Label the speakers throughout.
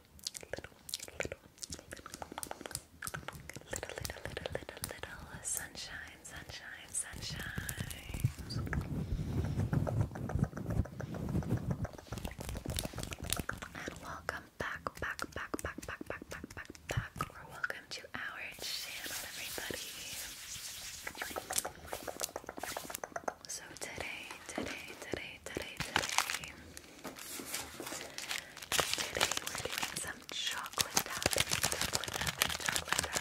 Speaker 1: little, little, little, little, little, little, sunshine, sunshine, sunshine. welcome back, back, back, back, back, back, back, back, back, welcome to our channel, everybody. So today today, today, today, today. Today we're doing some chocolate tapping, chocolate chocolate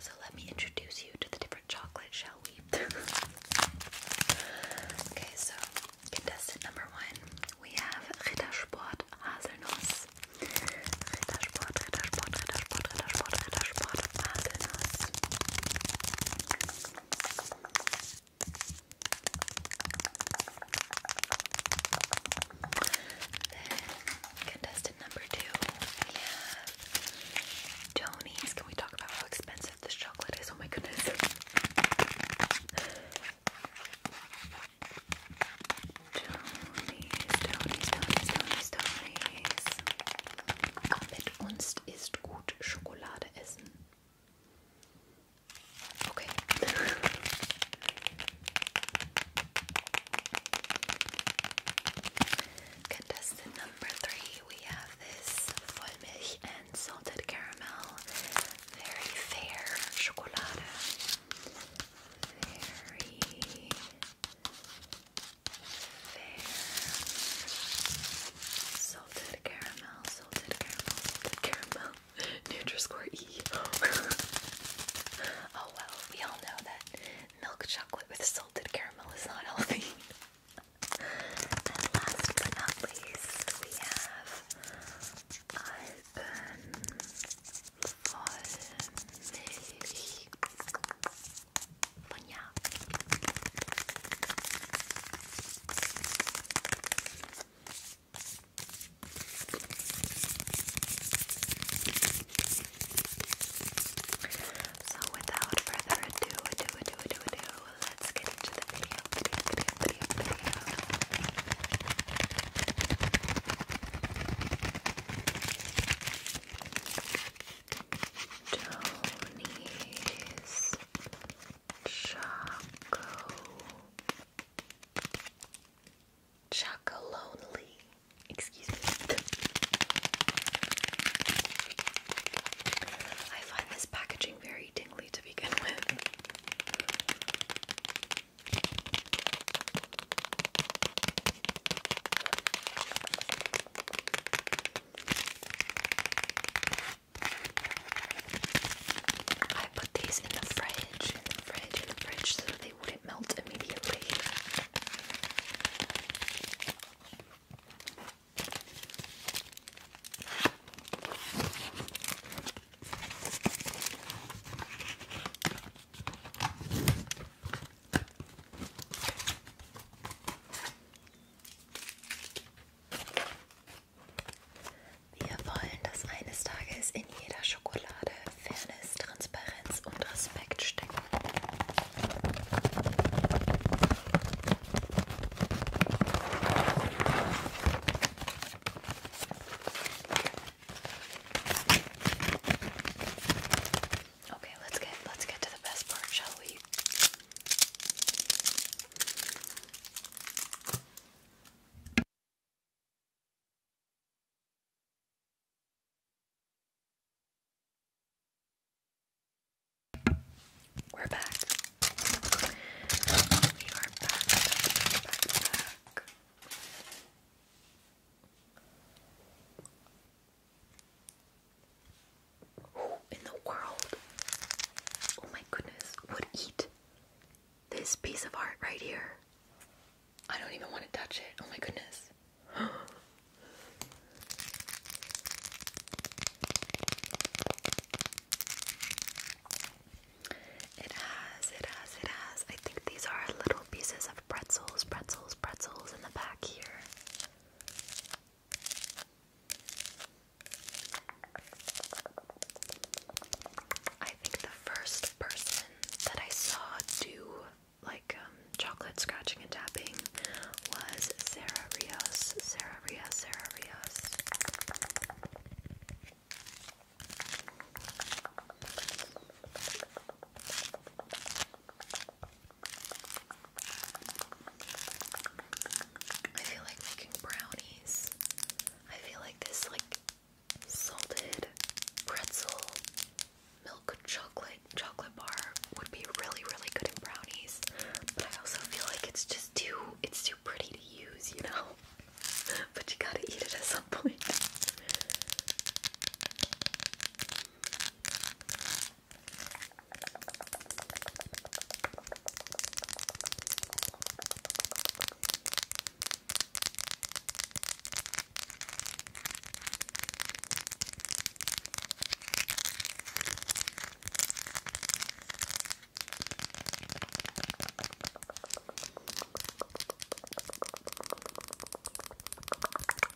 Speaker 1: So let me introduce you to the different chocolate, shall we? okay, so Contestant number one, we have Rittersport Haselnuss. Rittersport, Rittersport, Rittersport, Rittersport, Rittersport, Haselnuss. Then, contestant number two, we have Tony's. Can we talk about how expensive this chocolate is? Oh my goodness. Tonies, Tonies, Tonies, Tonies. Mit uns ist gut Schokolade essen. Okay. Contestant number three, we have this Vollmilch and salted caramel. Very fair chocolate. Very fair salted caramel, salted caramel, salted caramel. nutri E. oh well, we all know that milk chocolate with salted caramel is not healthy. and last but not least, we have Alpen voll Milch von ja. So without further ado, ado, ado, ado, ado, let's get into the video, Tony's Choco Choco Lonely. Excuse me. I find this packaging very to begin with. I put these in the fridge, fridge, fridge, so they wouldn't melt immediately. Wir wollen, dass eines Tages in jeder Schokolade Fairness, Transparenz und Respekt stecken. Okay, let's get let's get to the best part, shall we? We're back. We are back, Who in the world? Oh my goodness, would eat this piece of art right here? I don't even want to touch it. Oh my goodness. It has, it has, it has. I think these are little pieces of pretzels, pretzels, pretzels in the back here. I think the first person that I saw do like um, chocolate scratching and tapping was Sarah Rios. Sarah Rios, Sarah Rios. I feel like making brownies. I feel like this like salted pretzel milk chocolate chocolate bar would be really really good in brownies. But I also feel like it's just too it's too too pretty to use, you know? But you gotta eat it at some point.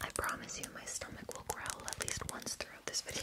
Speaker 1: I promise you, my stomach will growl at least once throughout this video.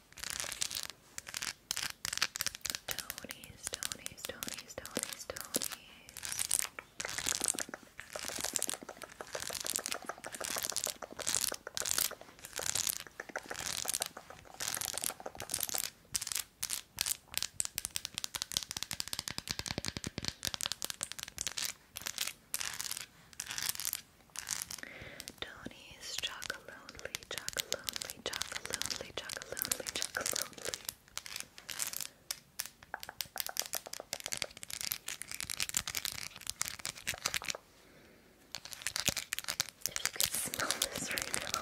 Speaker 1: Tony's, Tony's, Tony's, Tony's, Tony's. Tony's Chocolonely, Chocolonely, Chocolonely, Chocolonely, Chocolonely. If you could smell this right now.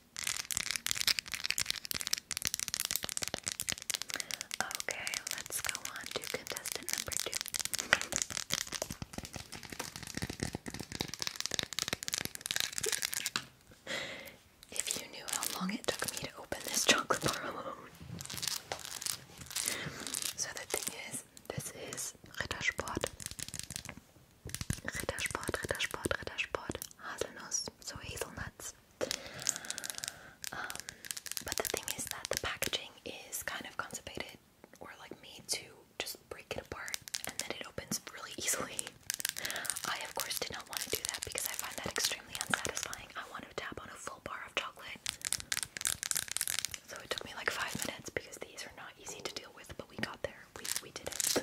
Speaker 1: Okay, let's go on to contestant number two. if you knew how long it took me to open this chocolate bar alone. So the thing is, this is Rittersport. Rittersport, Rittersport, Rittersport, Haselnuss, so hazelnuts. Um, but the thing is that the packaging is kind of constipated or like made to just break it apart and then it opens really easily. I, of course, did not want to do that because I find that extremely unsatisfying. I want to tap on a full bar of chocolate. So it took me like five minutes because these are easy to deal with, but we got there. We we did it.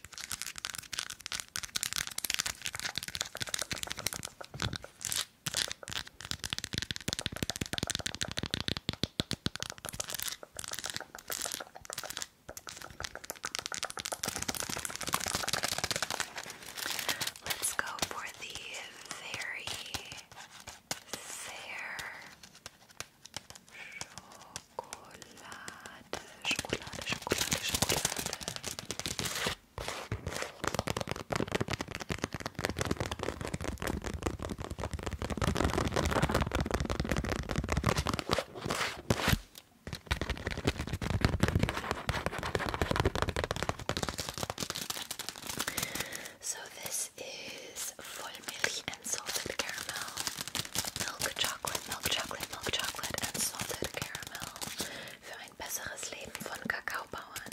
Speaker 1: Let's go for the very fair chocolate, chocolate, chocolate, chocolate. So this is milk and salted caramel, milk chocolate, milk chocolate, milk chocolate, and salted caramel. für ein besseres Leben von Kakaobauern.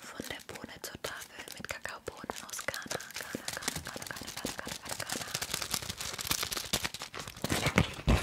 Speaker 1: Von der Bohne zur Tafel mit Kakaobohnen aus Ghana. Ghana, Ghana, Ghana, Ghana, Ghana, Ghana, Ghana.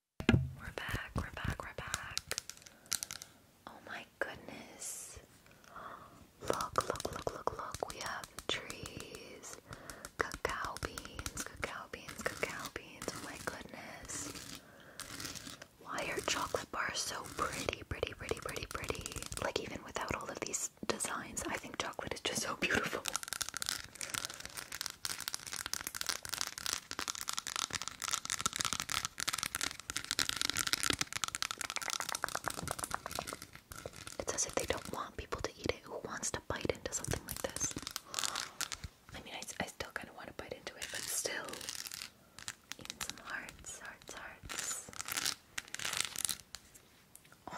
Speaker 1: We're back, we're back, we're back. Oh my goodness. Look, look, look, look, look. We have trees, cacao beans, cacao beans, cacao beans. Oh my goodness. Why are chocolate bars so pretty, pretty, pretty, pretty, pretty? Like, even without all of these designs, I think chocolate is just so beautiful. It's as if they don't want people to eat it. Who wants to bite into something like this? I mean, I, I still kind of want to bite into it, but still. some hearts, hearts, hearts. Oh.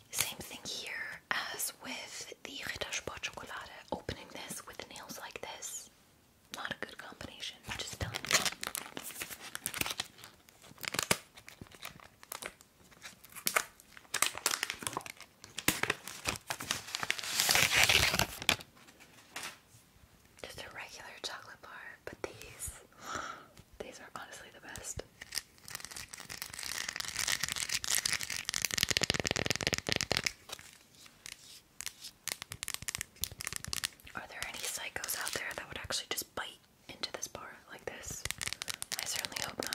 Speaker 1: same thing here as with the Rittersport Schokolade. Opening this with nails like this, not a good combination. Just telling you. Just a regular chocolate bar, but these these are honestly the best. Are there any psychos out there that would actually just bite into this bar like this? I certainly hope not.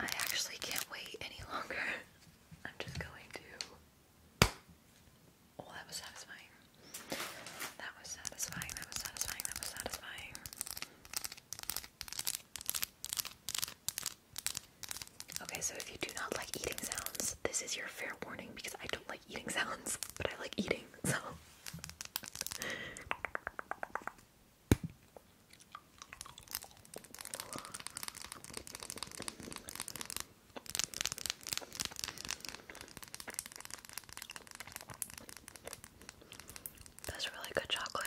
Speaker 1: I actually can't wait any longer. I'm just going to Oh, that was satisfying. That was satisfying. That was satisfying. That was satisfying. Okay, so if you do not like eating sounds, this is your fair warning because I don't like eating sounds, but I like eating, so. That's really good chocolate.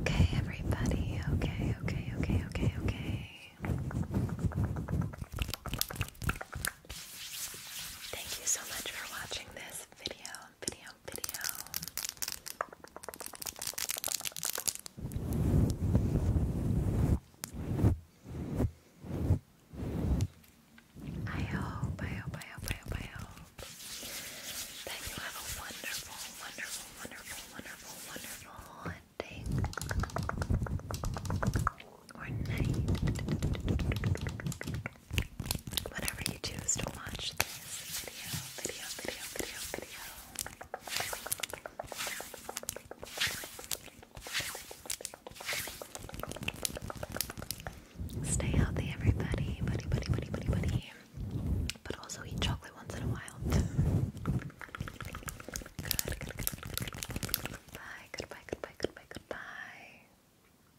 Speaker 1: Okay, everybody. Okay, okay, okay, okay, okay. Thank you so much for watching this video, video, video. I hope, I hope, you have a wonderful, wonderful, wonderful, wonderful, wonderful day or night whenever you choose to watch this video, video, video, video, video. Stay healthy, everybody, buddy, buddy, buddy, buddy, buddy. But also eat chocolate once in a while. good, goodbye, goodbye, goodbye, goodbye.